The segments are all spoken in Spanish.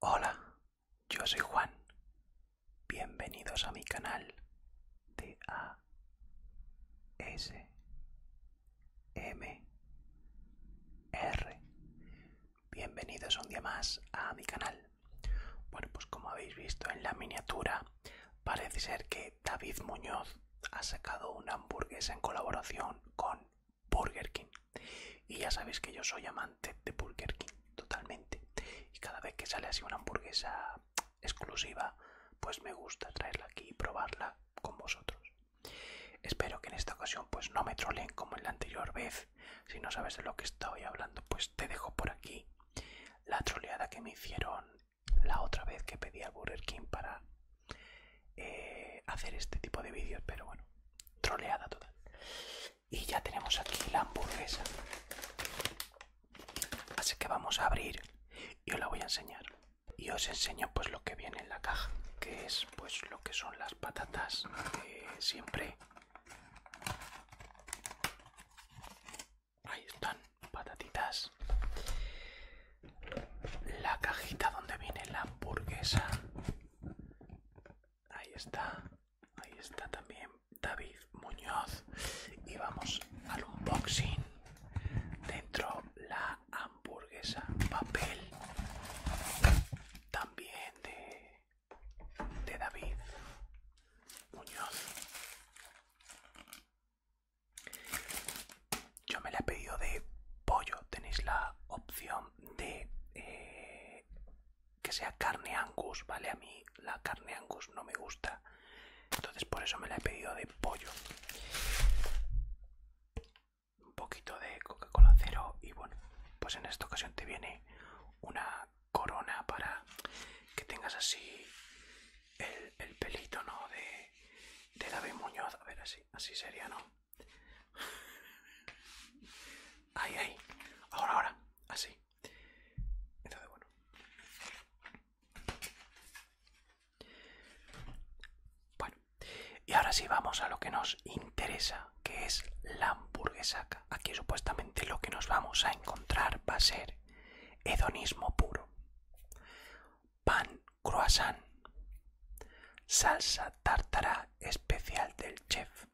Hola, yo soy Juan. Bienvenidos a mi canal de A S M R. Bienvenidos un día más a mi canal. Bueno, pues como habéis visto en la miniatura, parece ser que David Muñoz ha sacado una hamburguesa en colaboración con Burger King. Y ya sabéis que yo soy amante de Burger King, totalmente. Y cada vez que sale así una hamburguesa exclusiva, pues me gusta traerla aquí y probarla con vosotros. Espero que en esta ocasión pues no me troleen como en la anterior vez. Si no sabes de lo que estoy hablando, pues te dejo por aquí la troleada que me hicieron la otra vez que pedí al Burger King para eh, hacer este tipo de vídeos, pero bueno, troleada total. Y ya tenemos aquí la hamburguesa. Así que vamos a abrir y os la voy a enseñar. Y os enseño pues lo que viene en la caja, que es pues lo que son las patatas siempre Ahí están, patatitas. La cajita donde viene la hamburguesa. Ahí está. Ahí está también David Muñoz. Y vamos al unboxing. Dentro la hamburguesa. Papel. También de de David Muñoz. Yo me la he pedido de pollo. Tenéis la opción de eh, que sea carne angus, ¿vale? A mí la carne angus no me gusta. Entonces por eso me la he pedido de pollo. Un poquito de Coca-Cola cero y bueno, pues en esta ocasión te viene una corona para que tengas así el, pelito, ¿no? De, David Muñoz. A ver, así, así sería, ¿no? Ahí, ahí. Ahora, ahora. Así. Entonces, bueno. Bueno. Y ahora sí vamos a lo que nos interesa, que es la hamburguesa Aquí supuestamente lo que nos vamos a encontrar va a ser hedonismo puro. Pan croissant. Salsa tártara especial del chef.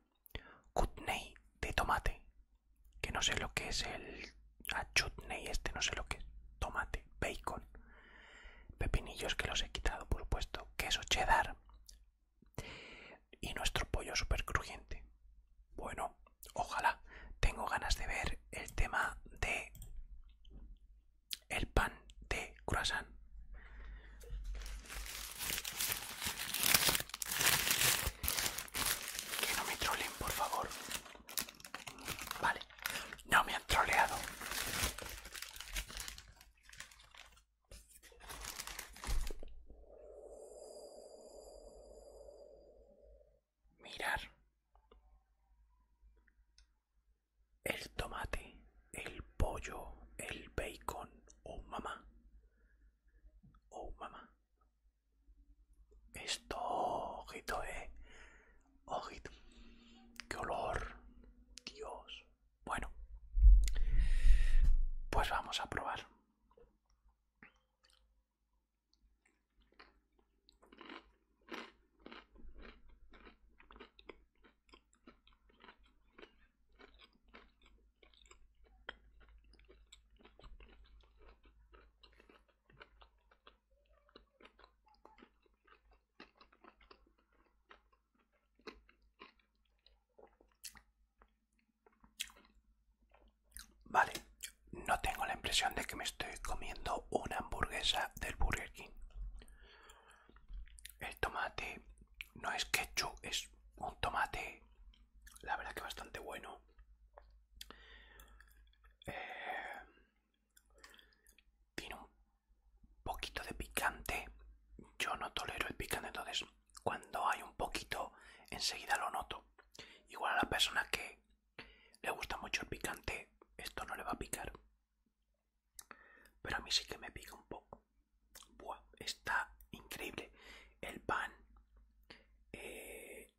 cutney de tomate. Que no sé lo que es el chutney este, no sé lo que es. Tomate, bacon. Pepinillos que los he quitado, por supuesto. Queso cheddar. Y nuestro pollo super crujiente. Bueno, ojalá. Tengo ganas de ver el tema de el pan de croissant. Que no me troleen, por favor. Vale, no me han troleado. Mirar el tomate, el pollo, el bacon, oh mamá, oh mamá. Esto, ojito, eh, ojito, qué olor, Dios, bueno, pues vamos a probar. Vale, no tengo la impresión de que me estoy comiendo una hamburguesa del Burger King. El tomate no es ketchup, es un tomate, la verdad que bastante bueno. Eh, tiene un poquito de picante. Yo no tolero el picante, entonces cuando hay un poquito enseguida lo noto. Igual a la persona que le gusta mucho el picante, esto no le va a picar. Pero a mí sí que me pica un poco. Buah, está increíble. El pan eh,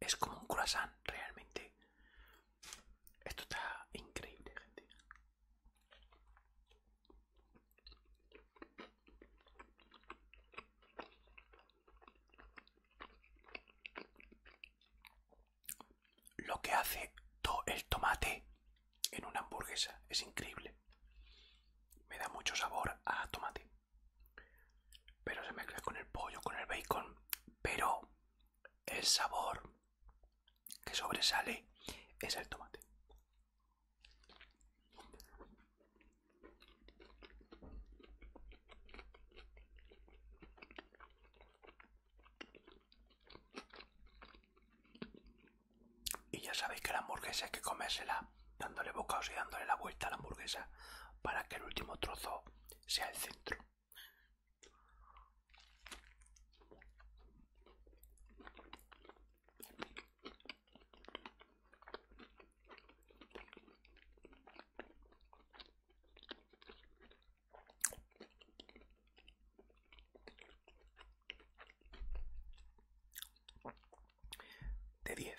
es como un croissant realmente. Esto está increíble, gente. Lo que hace todo el tomate en una hamburguesa es increíble. Me da mucho sabor a tomate. Pero se mezcla con el pollo, con el bacon. Pero el sabor que sobresale es el tomate. Y ya sabéis que la hamburguesa hay que comérsela dándole bocados y dándole la vuelta a la hamburguesa para que el último trozo sea el centro de 10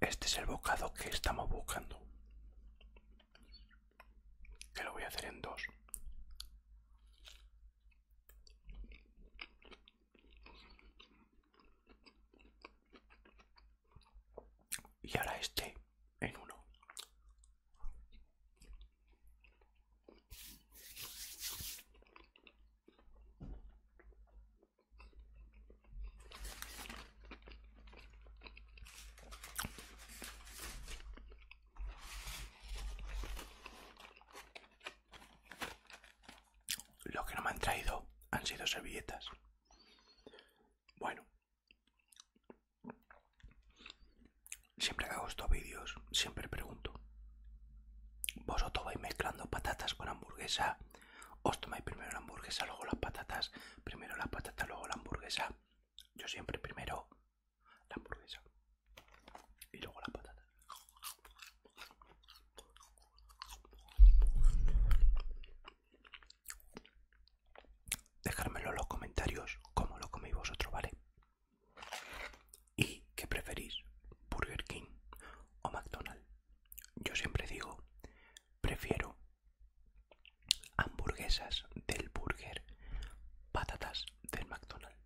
Este es el bocado que estamos buscando. Que lo voy a hacer en dos. Y ahora este en uno. Lo que no me han traído han sido servilletas. Bueno, siempre que hago estos vídeos, siempre pregunto vosotros vais mezclando patatas con hamburguesa. Os tomáis primero la hamburguesa, luego las patatas. Primero las patatas, luego la hamburguesa. Yo siempre primero la hamburguesa. Y luego las patatas. Dejadmelo en los comentarios cómo lo coméis vosotros, ¿vale? ¿Y qué preferís? ¿Burger King o McDonald's? Yo siempre digo, prefiero hamburguesas del burger, patatas del McDonald's.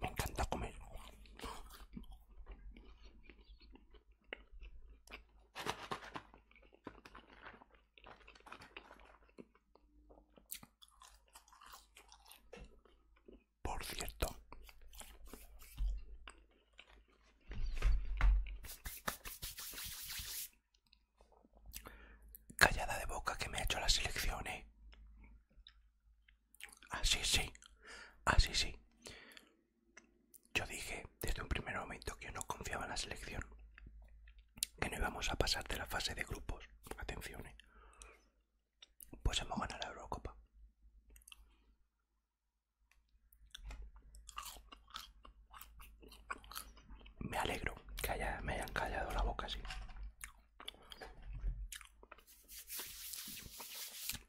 Me encanta comer. Por cierto, callada de boca que me ha hecho las elecciones Así sí, así sí yo dije desde un primer momento que no confiaba en la selección, que no íbamos a pasar de la fase de grupos, atención, eh. pues hemos ganado la Eurocopa. Me alegro que me hayan callado la boca así.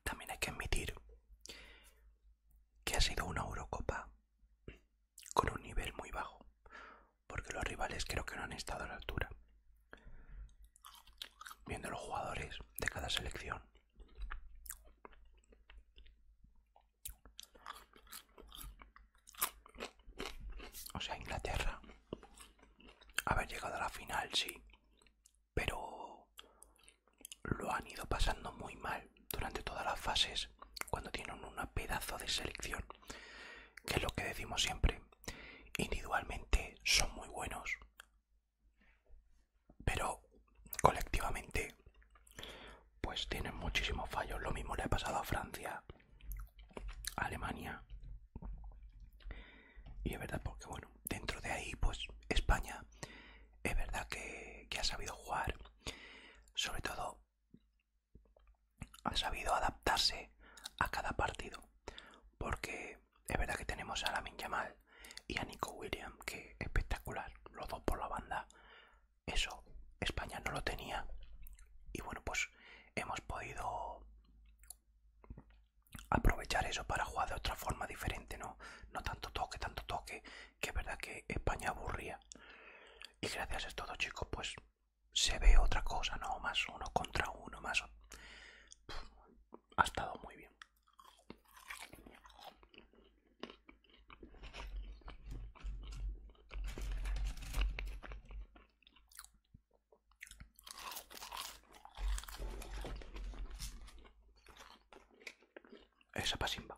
También hay que admitir que ha sido una Eurocopa con un nivel muy bajo, porque los rivales creo que no han estado a la altura. Viendo los jugadores de cada selección. O sea, Inglaterra. Haber llegado a la final, sí. Pero lo han ido pasando muy mal durante todas las fases cuando tienen un pedazo de selección que es lo que decimos siempre individualmente son muy buenos pero colectivamente pues tienen muchísimos fallos lo mismo le ha pasado a Francia Alemania y es verdad porque bueno dentro de ahí pues España es verdad que ha sabido jugar sobre todo, ha sabido adaptarse a cada partido. Porque es verdad que tenemos a Lamin Yamal y a Nico William, que espectacular, los dos por la banda. Eso, España no lo tenía. Y bueno, pues hemos podido aprovechar eso para jugar de otra forma diferente, ¿no? No tanto toque, tanto toque, que es verdad que España aburría. Y gracias a estos dos chicos, pues se ve otra cosa, ¿no? Más uno contra uno, más... ha estado muy bien esa pasimba.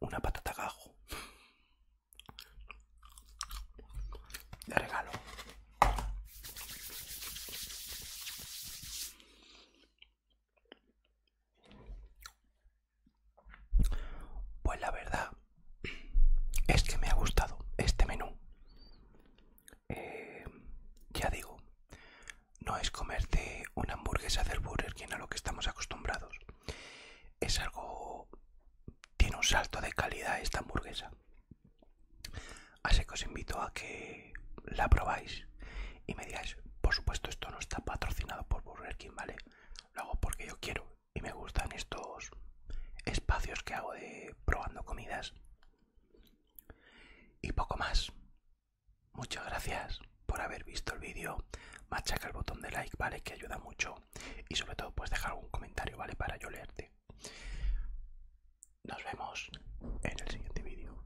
una patata gajo de regalo pues la verdad es que me ha gustado este menú eh, ya digo no es comerte una hamburguesa del Burger King a lo que estamos acostumbrados. Es algo... tiene un salto de calidad esta hamburguesa. Así que os invito a que la probáis y me digáis, por supuesto esto no está patrocinado por Burger King, ¿vale? Lo hago porque yo quiero y me gustan estos espacios que hago de probando comidas. Y poco más. Muchas gracias por haber visto el vídeo. Machaca el botón de like, ¿vale? Que ayuda mucho. Y sobre todo, pues dejar algún comentario, ¿vale? Para yo leerte. Nos vemos en el siguiente vídeo.